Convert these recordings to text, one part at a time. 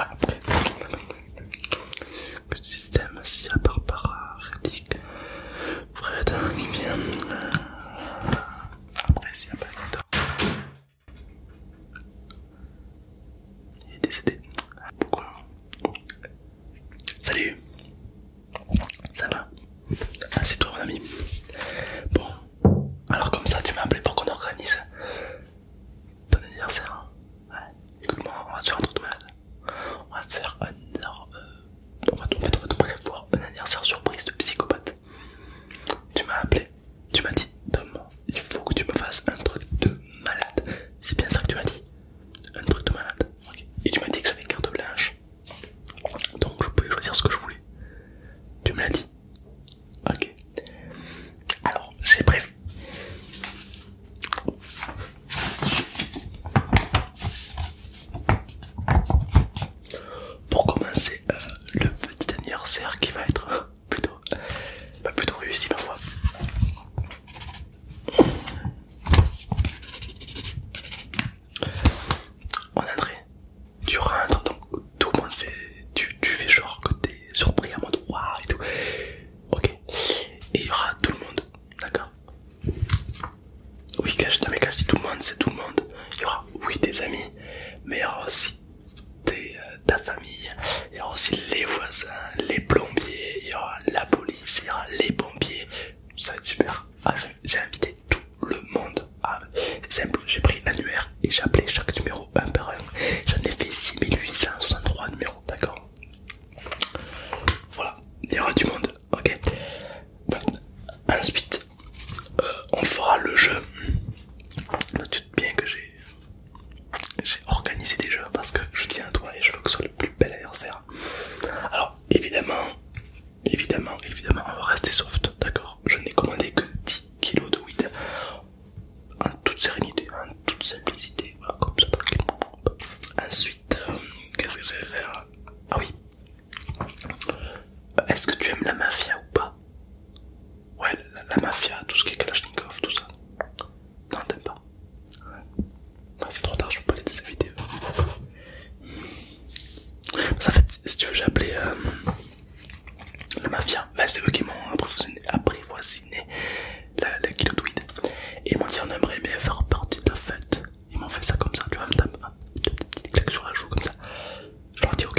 Après, le système, si à par Reddick, Fred qui vient. Euh, après, s'il n'y a pas d'histoire, il est décédé. Salut Ça va ah C'est toi mon ami. Bon, alors comme ça tu m'as appelé pour qu'on organise ton anniversaire. Ouais. Écoute-moi, on va te faire un truc de malade. On va te faire un... Euh, on, va, on va te prévoir un anniversaire surprise de psychopathe. Tu m'as appelé, tu m'as dit Tom, il faut que tu me fasses un truc de malade. C'est bien ça que tu m'as dit. Un truc de malade. Et tu m'as dit que j'avais une carte blanche. Donc je pouvais choisir ce que je voulais. Tu me l'as dit. Ok. Alors, j'ai prévu. Pour commencer, euh, le petit anniversaire qui va être plutôt, plutôt réussi ma foi. On André, tu rentres, donc tout le monde fait, tu, fais genre que t'es surpris à mon waouh et tout. Ok, et il y aura tout le monde, d'accord Oui, cache, je dis tout le monde, c'est tout le monde. Il y aura, oui, tes amis, mais il y aura aussi euh, ta famille, il y aura aussi les voisins, les plombiers, il y aura la police, il y aura les pompiers. Ça va être super. Ah, j'ai invité tout le monde. c'est simple, j'ai pris l'annuaire et j'ai appelé chaque numéro un par un. J'en ai fait 6863 numéros, d'accord Voilà, il y aura du monde, ok Ensuite, euh, on fera le jeu. bien que j'ai organisé des jeux parce que je tiens à toi et je veux que ce soit le plus bel anniversaire. Alors, évidemment, Évidemment, évidemment, on va rester soft, d'accord Je n'ai commandé que 10 kilos de weed en toute sérénité, en toute simplicité, voilà, comme ça, Ensuite, euh, qu'est-ce que je vais faire Ah oui euh, Est-ce que tu aimes la mafia ou pas Ouais, la, mafia, tout ce qui est Kalachnikov, tout ça. Non, t'aimes pas ah, c'est trop tard, je peux pas laisser cette vidéo. Ça fait, si tu veux, j'ai appelé euh, la mafia. Ben, c'est eux qui m'ont apprivoisiné la, la Et ils m'ont dit on aimerait bien faire partie de la fête. Ils m'ont fait ça comme ça, tu vois, me petit sur la joue comme ça. Je leur ai dit ok.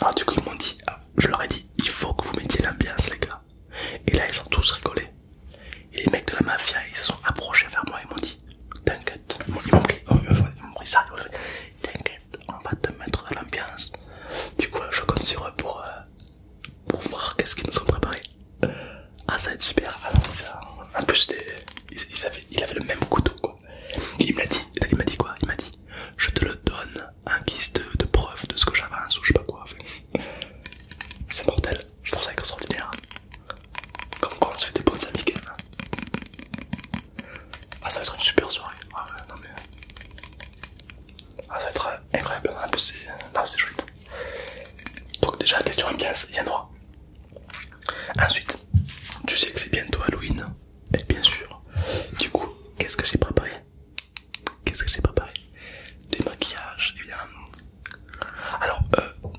Alors, ah, du coup, ils m'ont dit, ah, je leur ai dit il faut que vous mettiez l'ambiance, les gars. Et là, ils ont tous rigolé. Et les mecs de la mafia, ils se sont approchés vers moi et m'ont dit T'inquiète, oh, oh, ils m'ont pris, ça, ils m'ont fait T'inquiète, on va te mettre dans l'ambiance. Du coup, je compte sur eux pour, euh, pour voir qu'est-ce qu'ils nous ont préparé. Ah, ça va être super. Ah, en plus, il, avait, le même couteau quoi. Il m'a dit, il m'a dit quoi Il m'a dit Je te le donne en guise de, preuve de ce que j'avance ou je sais pas quoi. c'est mortel. Je trouve ça extraordinaire. Comme quoi on se fait des bonnes amis. Ah, ça va être une super soirée. Ah, ah ça va être incroyable. En plus, c'est chouette. Donc, déjà, question ambiance, il y en droit. Ensuite, tu sais que c'est bientôt Halloween. Et bien sûr. Du coup, qu'est-ce que j'ai préparé Qu'est-ce que j'ai préparé Des maquillages, eh bien alors, euh,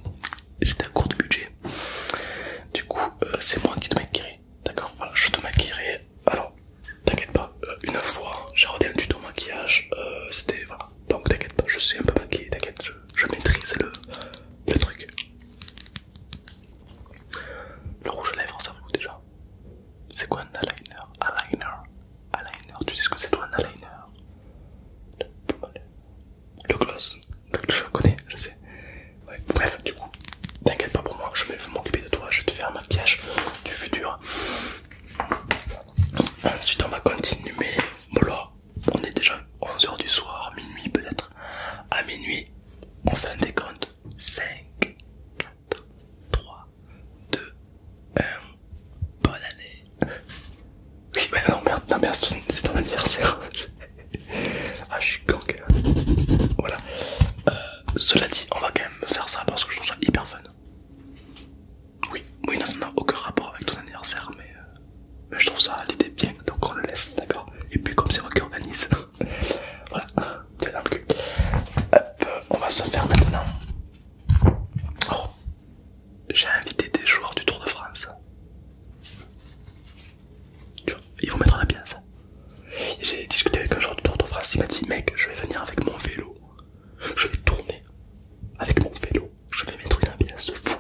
j'étais à court de budget. Du coup, euh, c'est moi qui te maquillerai. D'accord Voilà, je te maquillerai. Alors, t'inquiète pas, euh, une fois, hein, j'ai regardé un tuto maquillage. C'était. Voilà. Donc, t'inquiète pas, je suis un peu maquillé, T'inquiète, je, maîtrise le, truc. Le rouge à lèvres, ça vous déjà. C'est quoi un aligner Aligner, Tu sais ce que c'est toi un aligner Le gloss. Je connais, je sais. bref, du coup, t'inquiète pas pour moi, je vais m'occuper de toi, je vais te faire un piège du futur. Ensuite, on va continuer, mais là, on est déjà 11h du soir, minuit peut-être. À minuit, on fait un décompte 5, 4, 3, 2, 1. Bonne année! Oui, bah non, merde, non, c'est ton anniversaire! ah, je suis Voilà. Euh, cela dit, on va quand même faire ça parce que je trouve ça hyper fun. Oui, oui, non, ça n'a aucun rapport avec ton anniversaire, mais, euh, je trouve ça l'idée bien, donc on le laisse, d'accord? Et puis, comme c'est moi qui organise, voilà, Tiens, dans Hop, on va se faire maintenant. Oh j'ai invité des joueurs du Tour de France. Tu vois, ils vont mettre la pièce. J'ai discuté avec un joueur du Tour de France, il m'a dit mec, je vais venir avec mon vélo. Je vais tourner avec mon vélo. Je vais mettre une ambiance de fou.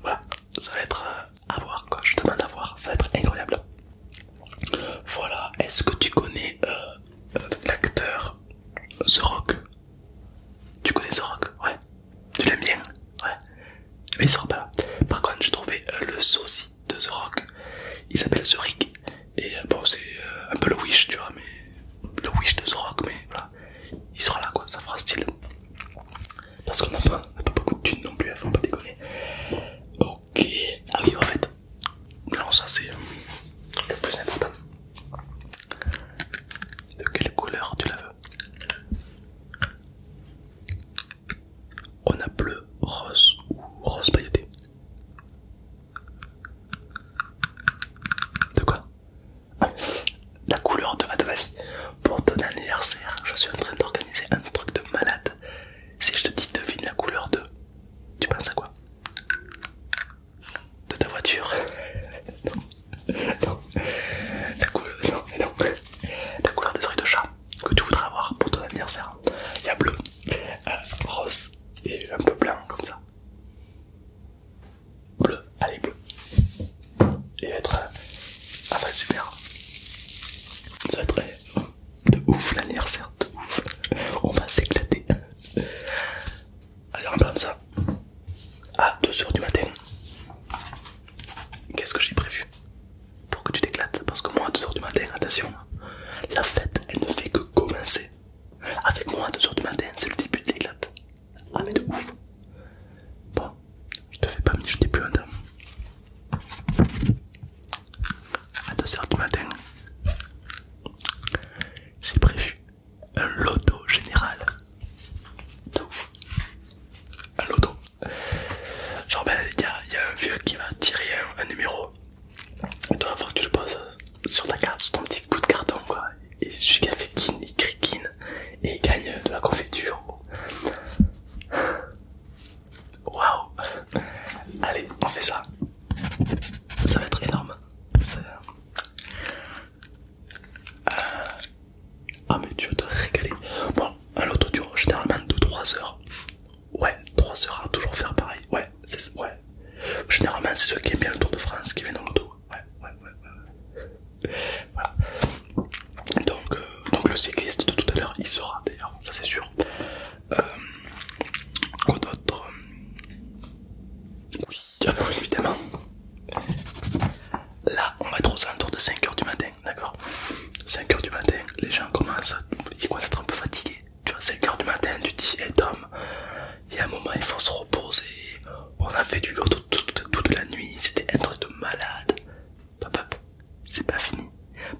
Voilà, ça va être euh, à voir quoi. Je demande à voir, ça va être incroyable. Voilà, est-ce que tu connais euh, l'acteur The Rock. Tu connais The Rock Ouais. Tu l'aimes bien Ouais. Mais il sera pas là. Par contre, j'ai trouvé euh, le sosie de The Rock. Il s'appelle The Rick. Et euh, bon, c'est euh, un peu le Wish, tu vois, mais le Wish de The Rock, mais voilà. Il sera là, quoi. Ça fera style. Parce qu'on n'a pas, pas beaucoup de thunes non plus, hein, faut pas déconner. Ok. Ah oui, en fait, non, ça c'est le plus important. De quelle couleur tu la veux On a bleu, rose ou rose pailleté. De quoi ah, La couleur de, de ma vie. Pour ton anniversaire, je suis en train d'organiser un truc de malade. Si je te dis devine la couleur de tu penses à quoi De ta voiture Non, La, non, non. La couleur des oreilles de chat que tu voudrais avoir pour ton anniversaire. Il y a bleu, euh, rose et un peu blanc comme ça. Bleu, allez bleu. Il va être... Ah super. Ça va être de ouf l'anniversaire, de ouf. On va s'éclater. Alors, on prend ça, à 2h du matin, qu'est-ce que j'ai prévu pour que tu t'éclates Parce que moi, à 2h du matin, attention, la fête elle ne fait que commencer. Avec moi, à 2h du matin, c'est le début de l'éclate. Ah, mais de ouf! Bon, je te fais pas, mais je n'ai plus un à 2h du matin, j'ai prévu un loto général. De Un loto. Genre, ben, il y, a un vieux qui va tirer un, numéro. Et toi, faut que tu le poses sur ta carte, sur ton petit bout de carton, quoi. Et celui qui fait kin, il crie et il gagne de la confiture. Waouh Allez, on fait ça. Ça va être énorme. Euh, ah mais tu vas te régaler. Bon, un dure généralement 2 3 heures. Ouais, 3 heures à toujours faire pareil. Ouais, c'est ouais. Généralement c'est ceux qui aiment bien le Tour de France qui viennent en auto. Ouais, ouais, ouais, ouais. Voilà. Donc, euh, donc le cycliste de tout à l'heure il sera d'ailleurs, ça c'est sûr. Euh, quoi d'autre Oui, évidemment. Là on va être aux alentours de 5h du matin, d'accord 5h du matin, les gens commencent, à être un peu fatigués. Tu vois, 5h du matin, tu dis, hey, Tom, il y a un moment il faut se reposer, on a fait du lot toute, toute la nuit, c'était un truc de malade. C'est pas fini.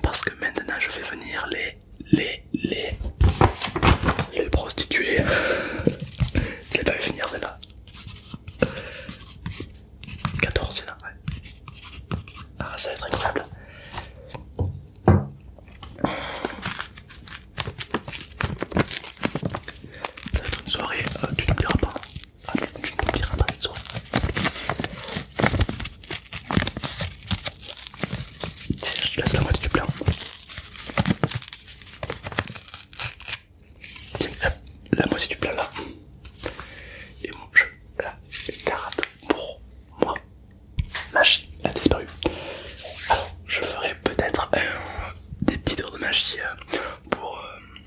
Parce que maintenant je vais venir les, les, les, les prostituées. je l'ai pas vu finir celle-là. 14 c'est là ouais. Ah, ça va être incroyable. Ça va une soirée, euh, tu n'oublieras pas. Ah, tu peux pas cette soirée. Tiens, je te laisse la moitié du plein. Tiens, la, la moitié du plein là. Et moi, je la carotte pour moi. Magie a disparu. Alors, je ferai peut-être euh, des petits tours de magie euh, pour euh,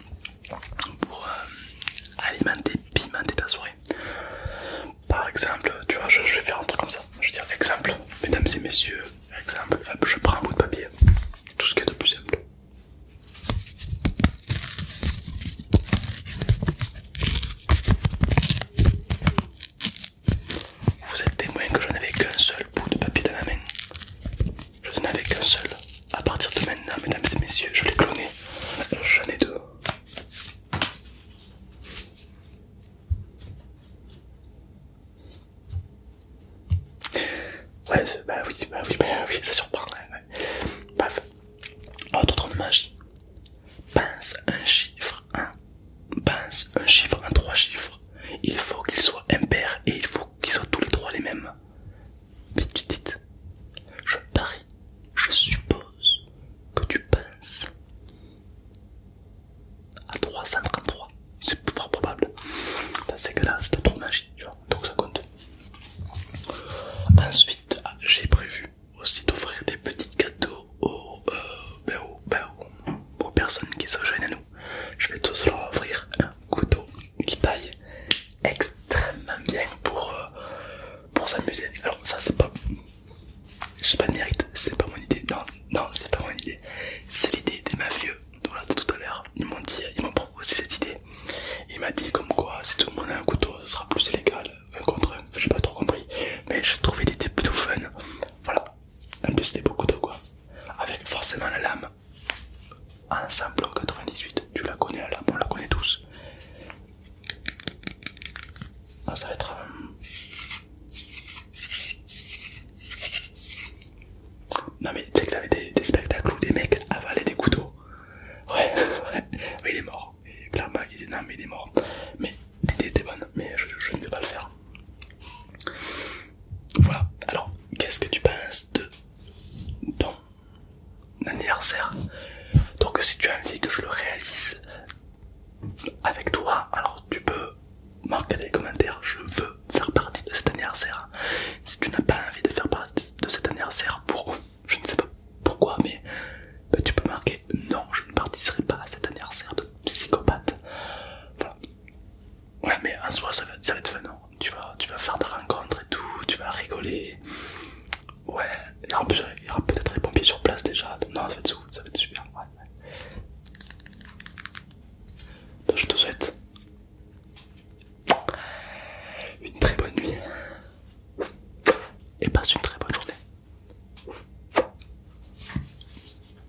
pour euh, alimenter, pimenter ta soirée. Par exemple, tu vois, je, vais faire un truc comme ça. Je vais dire exemple, mesdames et messieurs, exemple, je prends un bout de papier, tout ce qui est de plus simple. Vous êtes témoin que je n'avais qu'un seul bout de papier dans la main. Je n'en avais qu'un seul. À partir de maintenant, mesdames et messieurs, je l'ai cloné. J'en ai deux. Ouais, bah oui, bah oui, bah oui, ça surprend. ouais. Autre de magie. Pense un chiffre en. Pince un chiffre en trois chiffres. Il faut qu'il soit impair et il faut qu'ils soient tous les trois les mêmes. Vite, vite, vite. Je parie, je suppose que tu penses à 333. C'est fort probable. C'est que là c'est trop magique, Donc ça compte. Ensuite, ah, j'ai prévu aussi d'offrir des petits cadeaux euh, ben ben aux, personnes qui se joignent à nous. Je vais tous leur offrir un couteau qui taille extrêmement bien pour, euh, pour s'amuser. Alors ça c'est pas... J'ai pas de mérite, c'est pas mon idée. Non, non c'est pas mon idée. C'est l'idée des mafieux. Voilà, tout à l'heure, ils m'ont dit, proposé cette idée. Il m'a dit comme quoi si tout le monde a un couteau, ce sera plus illégal. Un contre un, j'ai pas trop compris. Mais j'ai trouvé l'idée plutôt fun. Voilà. En plus c'était beaucoup de quoi. Avec forcément la lame Ensemble ah, en 98, tu la connais là, on la connaît tous. Ah, ça va être. Euh, non, mais tu sais que t'avais des, spectacles où des mecs avalaient des couteaux. Ouais, ouais, il est mort. clairement, il est, non, mais il est mort. Mais t'es bonne, mais je ne vais pas le faire. Voilà, alors qu'est-ce que tu penses de ton anniversaire Donc si tu as envie que je le réalise avec toi, alors tu peux marquer les commentaires, je veux faire partie de cet anniversaire. Si tu n'as pas envie de faire partie de cet anniversaire pour je ne sais pas pourquoi mais bah, tu peux marquer non je ne participerai pas à cet anniversaire de psychopathe. Voilà. Ouais, mais en soi, ça va, être fun. Hein. Tu vas, tu vas faire des rencontres et tout, tu vas rigoler. Ouais, il y aura, peut-être les pompiers sur place déjà. non, ça va être, ça va être super. je te souhaite une très bonne nuit et passe une très bonne journée.